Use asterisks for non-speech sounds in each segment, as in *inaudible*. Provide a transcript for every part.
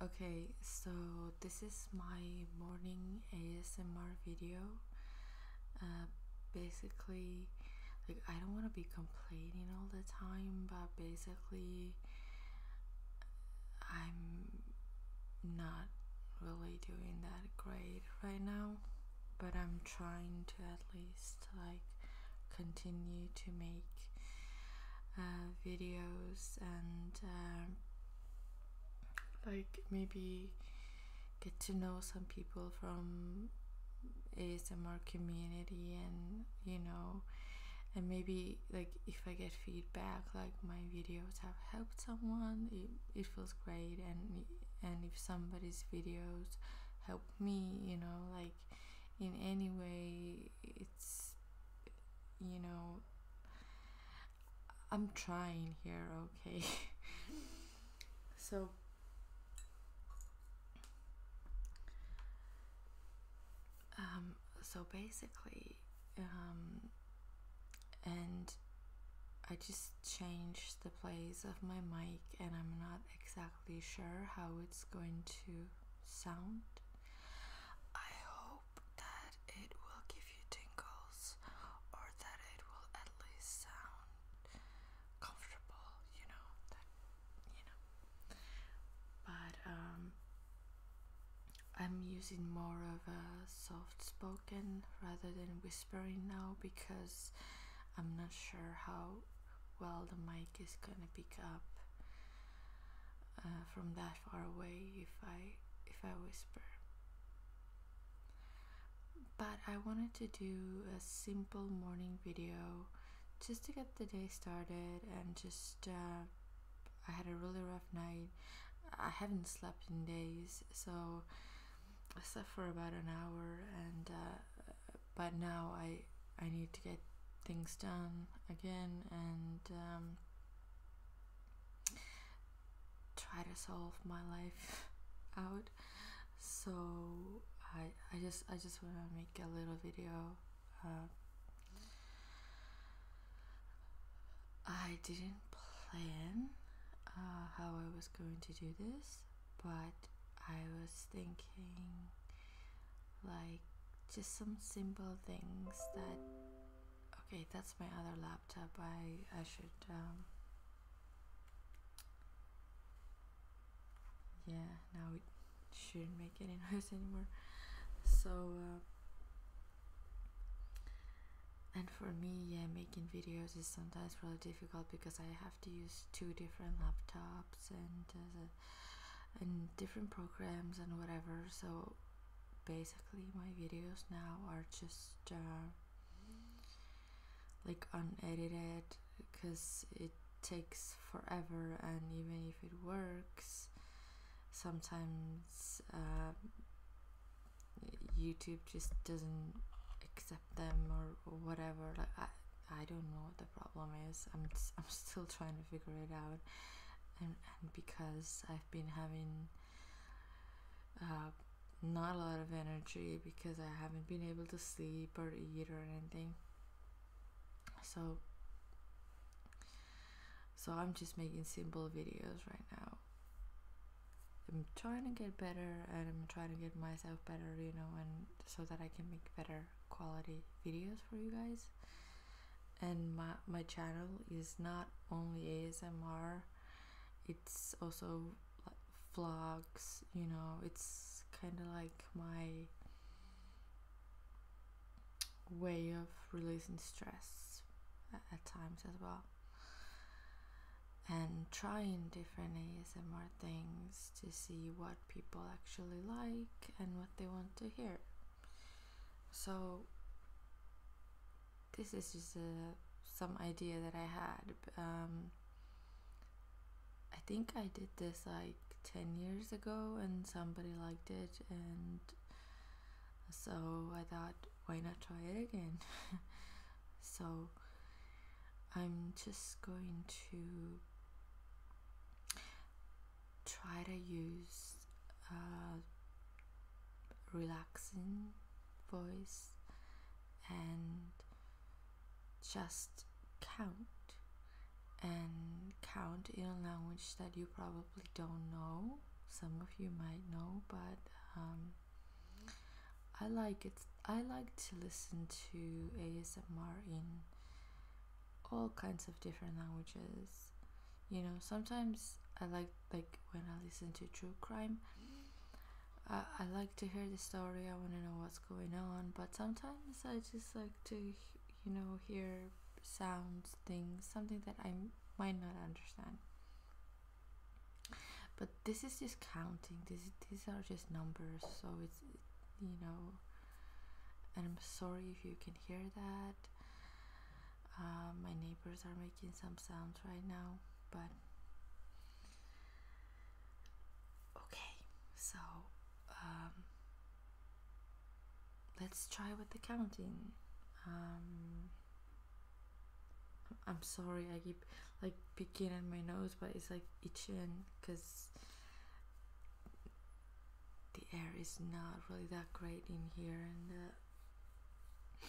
Okay, so this is my morning ASMR video. Uh, basically, like I don't want to be complaining all the time, but basically, I'm not really doing that great right now, but I'm trying to at least like continue to make uh, videos and um, like maybe get to know some people from ASMR community and you know and maybe like if I get feedback like my videos have helped someone it, it feels great and and if somebody's videos help me you know like in any way it's you know I'm trying here okay *laughs* so um so basically um and I just changed the place of my mic and I'm not exactly be sure how it's going to sound. I hope that it will give you tingles or that it will at least sound comfortable, you know, that you know. But um, I'm using more of a soft spoken rather than whispering now because I'm not sure how well the mic is gonna pick up uh, from that far away if I if I whisper. But I wanted to do a simple morning video just to get the day started and just uh, I had a really rough night. I haven't slept in days, so I slept for about an hour and uh, but now I I need to get things done again and um, try to solve my life *laughs* out. So I I just I just want to make a little video. Uh, I didn't plan uh, how I was going to do this but I was thinking like just some simple things that okay that's my other laptop I I should um, yeah now it shouldn't make any *laughs* noise anymore so uh, and for me yeah making videos is sometimes really difficult because I have to use two different laptops and uh, and different programs and whatever. So basically, my videos now are just uh, like unedited because it takes forever, and even if it works, sometimes uh, YouTube just doesn't accept them or, or whatever. Like I, I don't know problem is. I'm I'm still trying to figure it out, and because I've been having uh, not a lot of energy because I haven't been able to sleep or eat or anything. So so I'm just making simple videos right now. I'm trying to get better and I'm trying to get myself better, you know, and so that I can make better quality videos for you guys and my, my channel is not only ASMR it's also vlogs you know it's kind of like my way of releasing stress at times as well and trying different ASMR things to see what people actually like and what they want to hear. So, this is just a, some idea that I had. Um, I think I did this like 10 years ago and somebody liked it, and so I thought, why not try it again? *laughs* so, I'm just going to try to use a relaxing voice and just count and count in a language that you probably don't know some of you might know but um, I like it. I like to listen to ASMR in all kinds of different languages. You know, sometimes I like like when I listen to true crime. I, I like to hear the story. I want to know what's going on. But sometimes I just like to, you know, hear sounds, things, something that I might not understand. But this is just counting. These these are just numbers, so it's you know. And I'm sorry if you can hear that. Uh, my neighbors are making some sounds right now, but okay. So um, let's try with the counting. Um, I'm sorry, I keep like picking at my nose, but it's like itching because the air is not really that great in here, uh,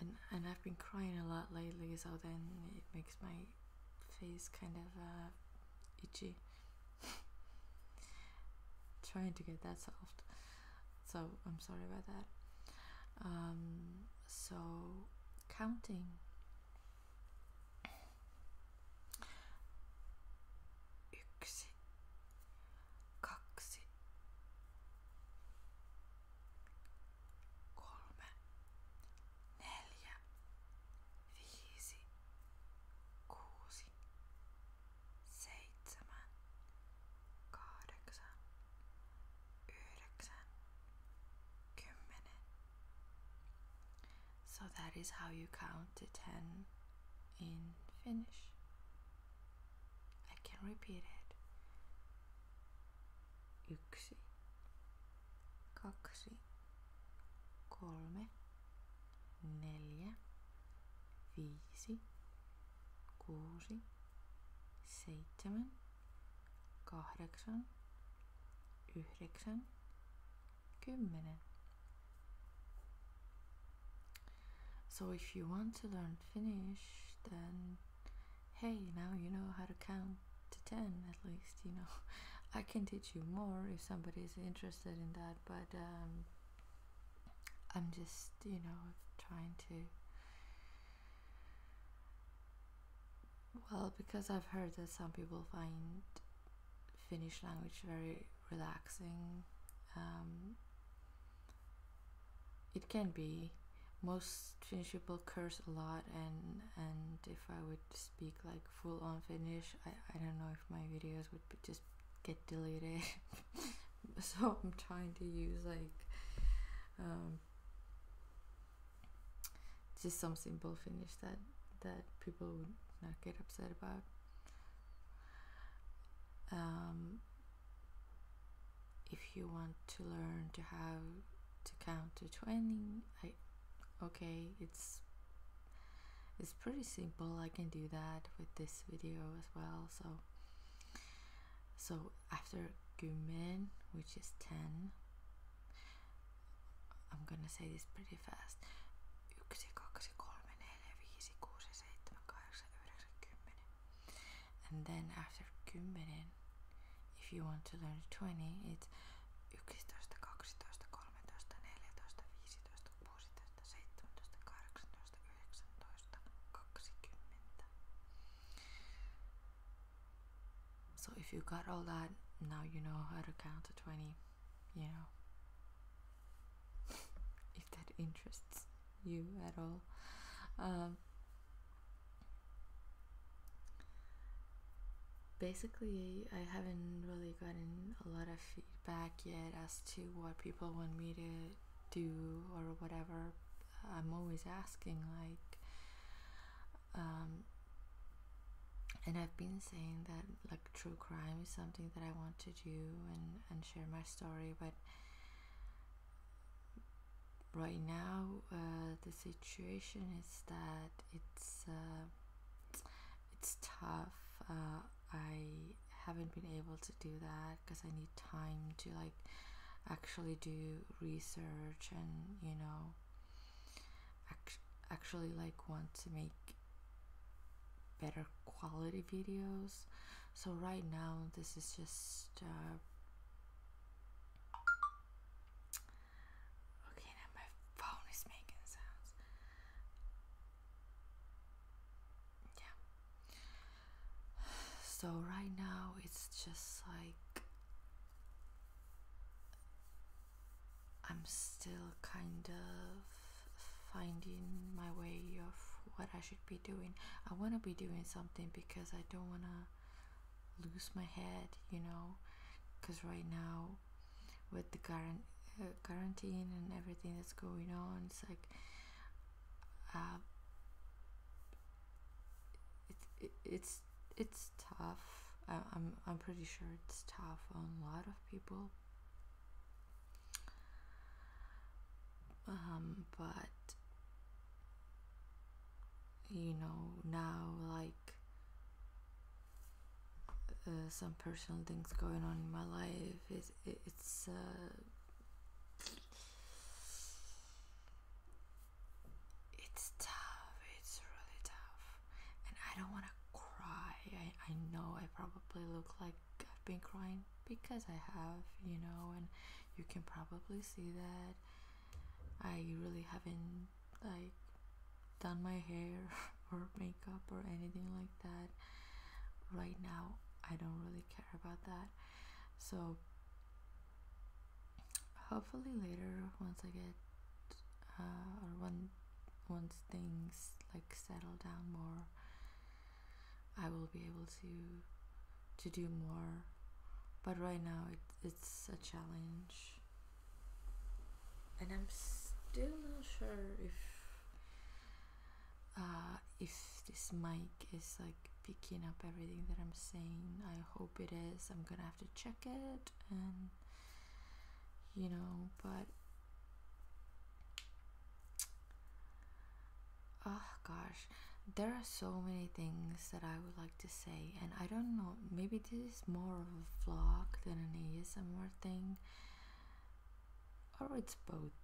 and and I've been crying a lot lately, so then it makes my face kind of uh, itchy. *laughs* Trying to get that solved, so I'm sorry about that. Um, so counting Yksi, kaksi, kolme, neljä, viisi, kuusi, seitsemän, kahdeksan, yhdeksän, kymmenen. So that is how you count to 10 in Finnish. I can repeat it. Yksi, kaksi, kolme, neljä, viisi, kuusi, seitsemän, kahdeksan, yhdeksän, kymmenen. So if you want to learn Finnish, then hey, now you know how to count to 10 at least, you know. *laughs* I can teach you more if somebody is interested in that, but um, I'm just, you know, trying to well, because I've heard that some people find Finnish language very relaxing. Um, it can be. Most Finnish people curse a lot, and and if I would speak like full on Finnish, I, I don't know if my videos would just get deleted. *laughs* so I'm trying to use like um, just some simple finish that that people would not get upset about. Um, if you want to learn to how to count to 20, I okay, it's it's pretty simple. I can do that with this video as well. So so after gumen, which is 10, I'm gonna say this pretty fast. yksi, kaksi, kolme, neljä, viisi, kuusi, seitsemän, 8, yhdeksän, kymmenen. And then after kymmenen, if you want to learn twenty, it's 11, 12, 13, 14, 15, 16, 17, 18, 19, kaksikymmentä. So if you got all that, now you know how to count to 20, you know. *laughs* if that interests you at all. Um, basically, I haven't really gotten a lot of feedback yet as to what people want me to do or whatever. I'm always asking, like, um, and I've been saying that like true crime is something that I want to do and, and share my story, but right now uh, the situation is that it's uh, it's tough. Uh, I haven't been able to do that because I need time to like actually do research and you know actually like want to make better quality videos so right now this is just uh, okay now my phone is making sounds yeah so right now it's just like I'm still kind of finding my way of what I should be doing. I want to be doing something because I don't want to lose my head, you know, because right now with the current uh, quarantine and everything that's going on, it's like uh, it, it's it's tough. I, am I'm pretty sure it's tough on a lot of people. Um, but you know now like uh, some personal things going on in my life. It, it's uh, it's tough, it's really tough. And I don't want to cry. I, I know I probably look like I've been crying because I have, you know, and you can probably see that. I really haven't, like, done my hair *laughs* or makeup or anything like that. Right now, I don't really care about that. So, hopefully later once I get uh, or when once things like settle down more I will be able to to do more but right now it, it's a challenge and I'm still not sure if uh, if this mic is like picking up everything that I'm saying. I hope it is. I'm gonna have to check it and you know, but oh gosh, there are so many things that I would like to say, and I don't know, maybe this is more of a vlog than an ASMR thing, or it's both.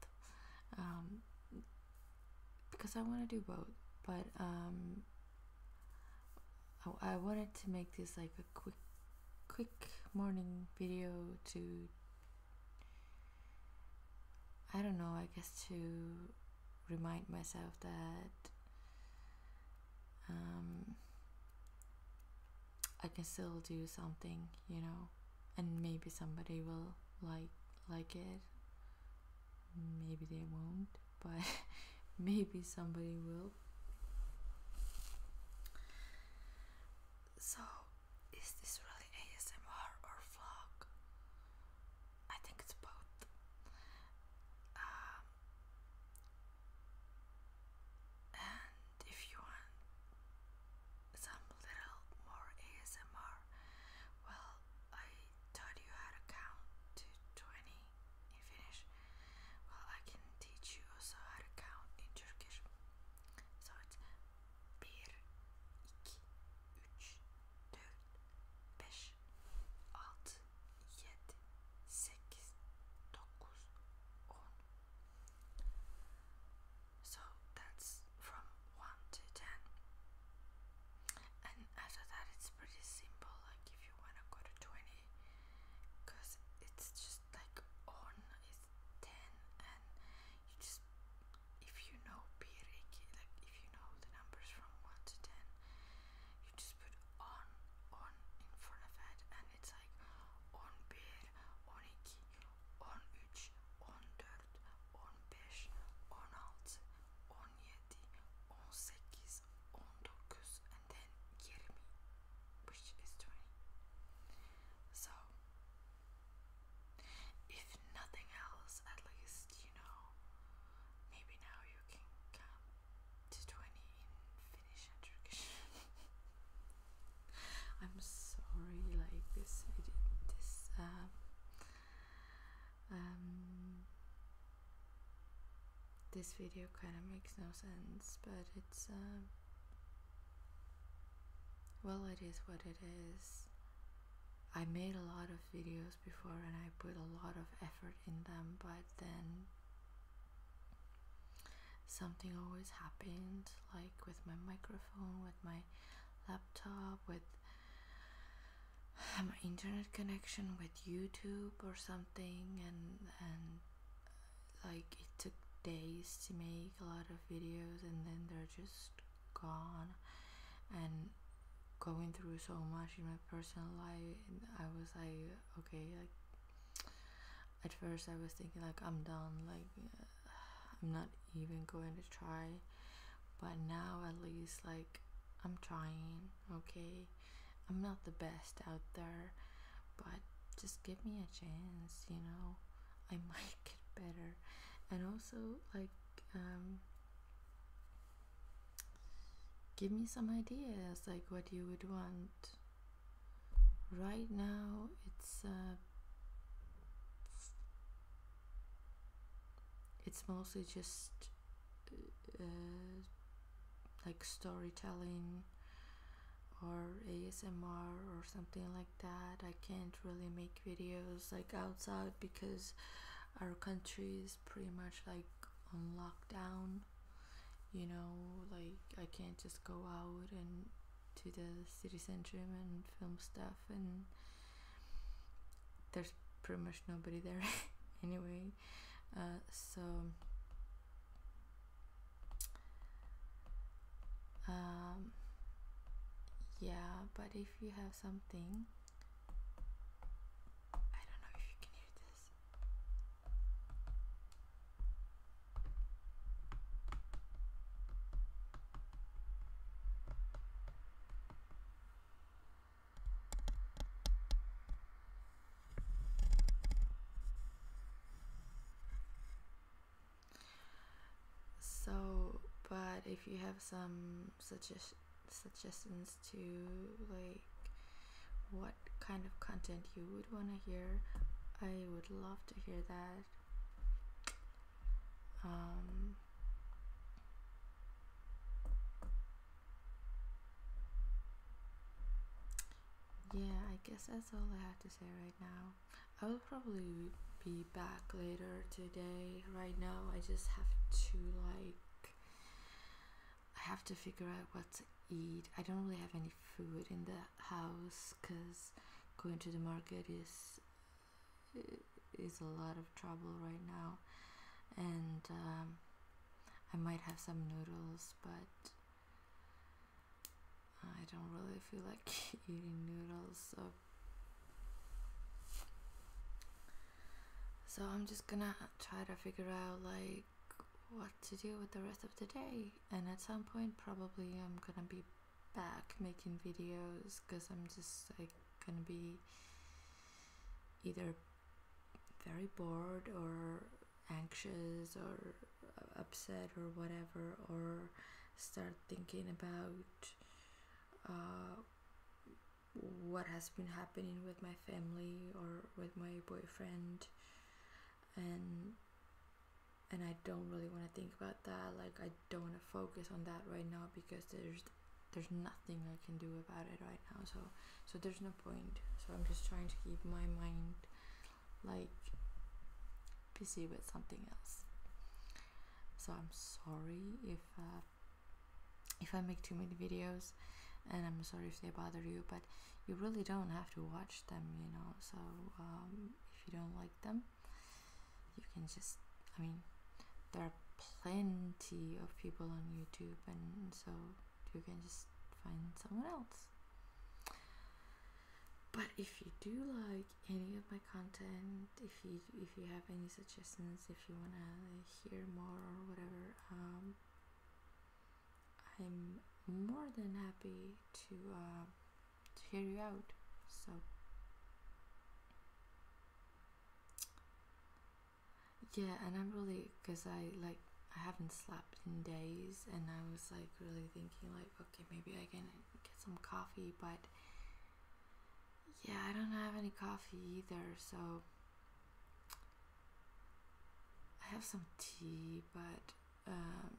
Um, because I want to do both, but um, oh, I, wanted to make this like a quick, quick morning video to. I don't know. I guess to remind myself that um, I can still do something, you know, and maybe somebody will like like it maybe they won't, but *laughs* maybe somebody will. So, is this really ASMR or vlog? I think it's both. Um, and if you want some little more ASMR, well, I taught you how to count to 20 in Finnish. Well, I can teach you also how to count in Turkish. So it's 1, 2, 3, 4, 5, 6, 7, 8, 9, 10. So that's from 1 to 10 and after that it's pretty simple like if you want to go to 20 because it's just like on is 10 and you just if you know Piriki like if you know the numbers from 1 to 10 you just put on on in front of it and it's like on bir on iki on üç on 18, 19 and then 20 which is 20. So if nothing else at least you know maybe now you can come to 20 in Finnish and Turkish. *laughs* I'm sorry like this this um um, this video kind of makes no sense, but it's um, well, it is what it is. I made a lot of videos before and I put a lot of effort in them, but then something always happened like with my microphone, with my laptop, with *sighs* my internet connection with YouTube or something and and uh, like it took days to make a lot of videos and then they're just gone and going through so much in my personal life I was like okay like at first I was thinking like I'm done like *sighs* I'm not even going to try but now at least like I'm trying, okay? I'm not the best out there, but just give me a chance, you know. I *laughs* might get better. And also like um give me some ideas like what you would want. Right now it's uh, it's mostly just uh, uh, like storytelling or ASMR or something like that. I can't really make videos like outside because our country is pretty much like on lockdown. You know, like I can't just go out and to the city center and film stuff and there's pretty much nobody there *laughs* anyway uh, so um, yeah but if you have something I don't know if you can hear this so, but if you have some suggest suggestions to like what kind of content you would want to hear, I would love to hear that. Um, yeah, I guess that's all I have to say right now. I will probably be back later today. Right now, I just have to like, I have to figure out what to eat. I don't really have any food in the house because going to the market is it's a lot of trouble right now, and um, I might have some noodles, but I don't really feel like *laughs* eating noodles, so. So I'm just gonna try to figure out like what to do with the rest of the day, and at some point, probably I'm gonna be back making videos because I'm just like gonna be either very bored or anxious or uh, upset or whatever or start thinking about uh, what has been happening with my family or with my boyfriend and and I don't really want to think about that like I don't want to focus on that right now because there's there's nothing I can do about it right now. So so there's no point. So I'm just trying to keep my mind like busy with something else. So I'm sorry if uh, if I make too many videos, and I'm sorry if they bother you. But you really don't have to watch them, you know. So um, if you don't like them, you can just, I mean, there are plenty of people on YouTube, and so you can just find someone else. But if you do like any of my content, if you if you have any suggestions, if you wanna hear more or whatever, um, I'm more than happy to uh, to hear you out. So, yeah, and I'm really because I like I haven't slept in days, and I was like really thinking like, okay, maybe I can get some coffee, but yeah, I don't have any coffee either, so I have some tea, but um,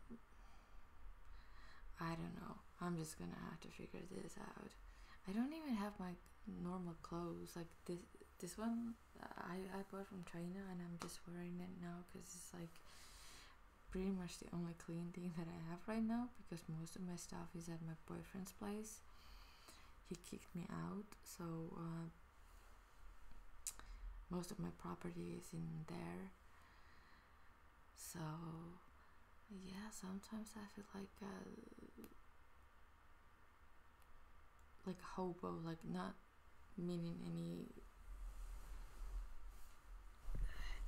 I don't know. I'm just gonna have to figure this out. I don't even have my normal clothes. Like this, this one uh, I I bought from China, and I'm just wearing it now because it's like pretty much the only clean thing that I have right now because most of my stuff is at my boyfriend's place. He kicked me out, so uh, most of my property is in there. So, yeah, sometimes I feel like uh, like a hobo, like not meaning any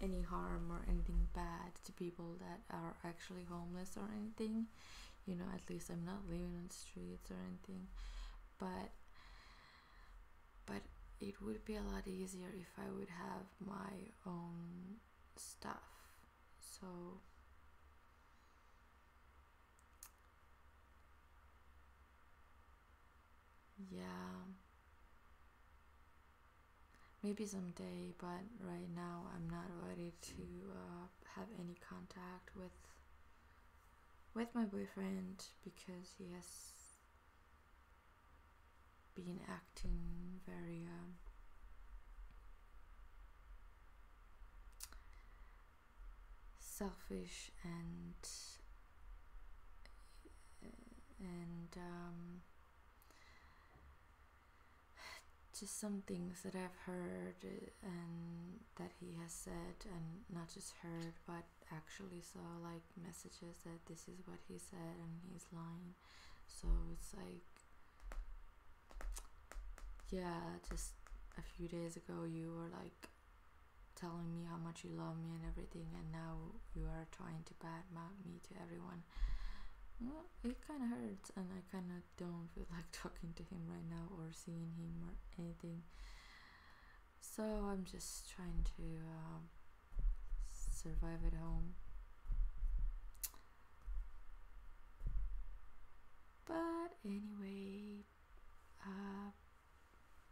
any harm or anything bad to people that are actually homeless or anything. You know, at least I'm not living on streets or anything. But but it would be a lot easier if I would have my own stuff. So yeah. Maybe someday, but right now I'm not ready to uh, have any contact with with my boyfriend because he has been acting very um, selfish and and um, just some things that I've heard and that he has said and not just heard but actually saw like messages that this is what he said and he's lying. So it's like, yeah, just a few days ago you were like telling me how much you love me and everything, and now you are trying to badmouth me to everyone. it kind of hurts, and I kind of don't feel *laughs* like talking to him right now or seeing him or anything. So I'm just trying to. Um, survive at home. But anyway, uh,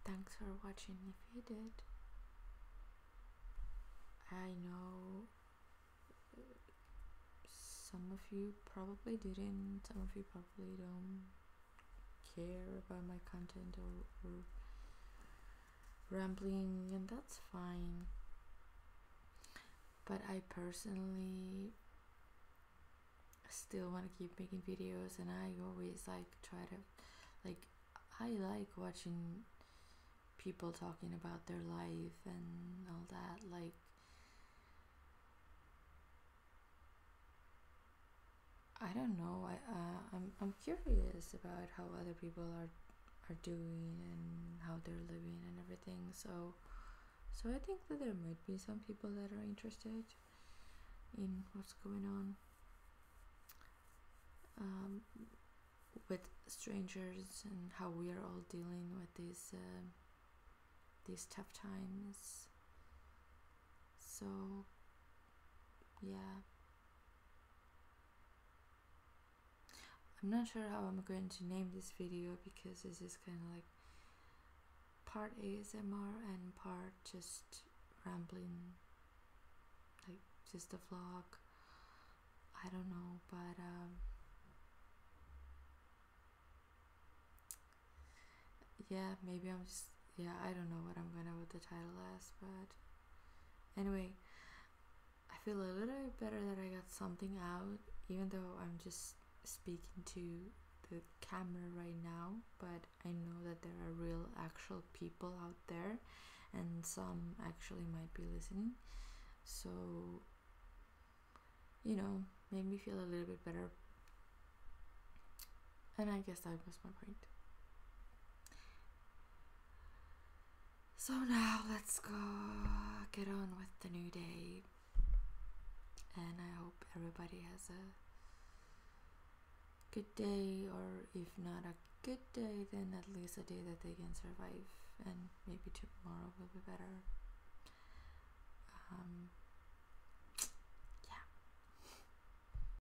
thanks for watching if you did. I know uh, some of you probably didn't, some of you probably don't care about my content or, or rambling and that's fine but i personally still want to keep making videos and i always like try to like i like watching people talking about their life and all that like I don't know. I uh, I'm I'm curious about how other people are are doing and how they're living and everything. So so I think that there might be some people that are interested in what's going on um, with strangers and how we are all dealing with these um, these tough times. So yeah, I'm not sure how I'm going to name this video because this is kind of like part ASMR and part just rambling, like just a vlog. I don't know, but um, yeah, maybe I'm just yeah, I don't know what I'm gonna with the title as, but Anyway, I feel a little bit better that I got something out, even though I'm just speaking to the camera right now, but I know that there are real, actual people out there, and some actually might be listening. So, you know, made me feel a little bit better. And I guess that was my point. So now let's go get on with the new day. And I hope everybody has a good day, or if not a good day, then at least a day that they can survive. And maybe tomorrow will be better. Um, *tsk*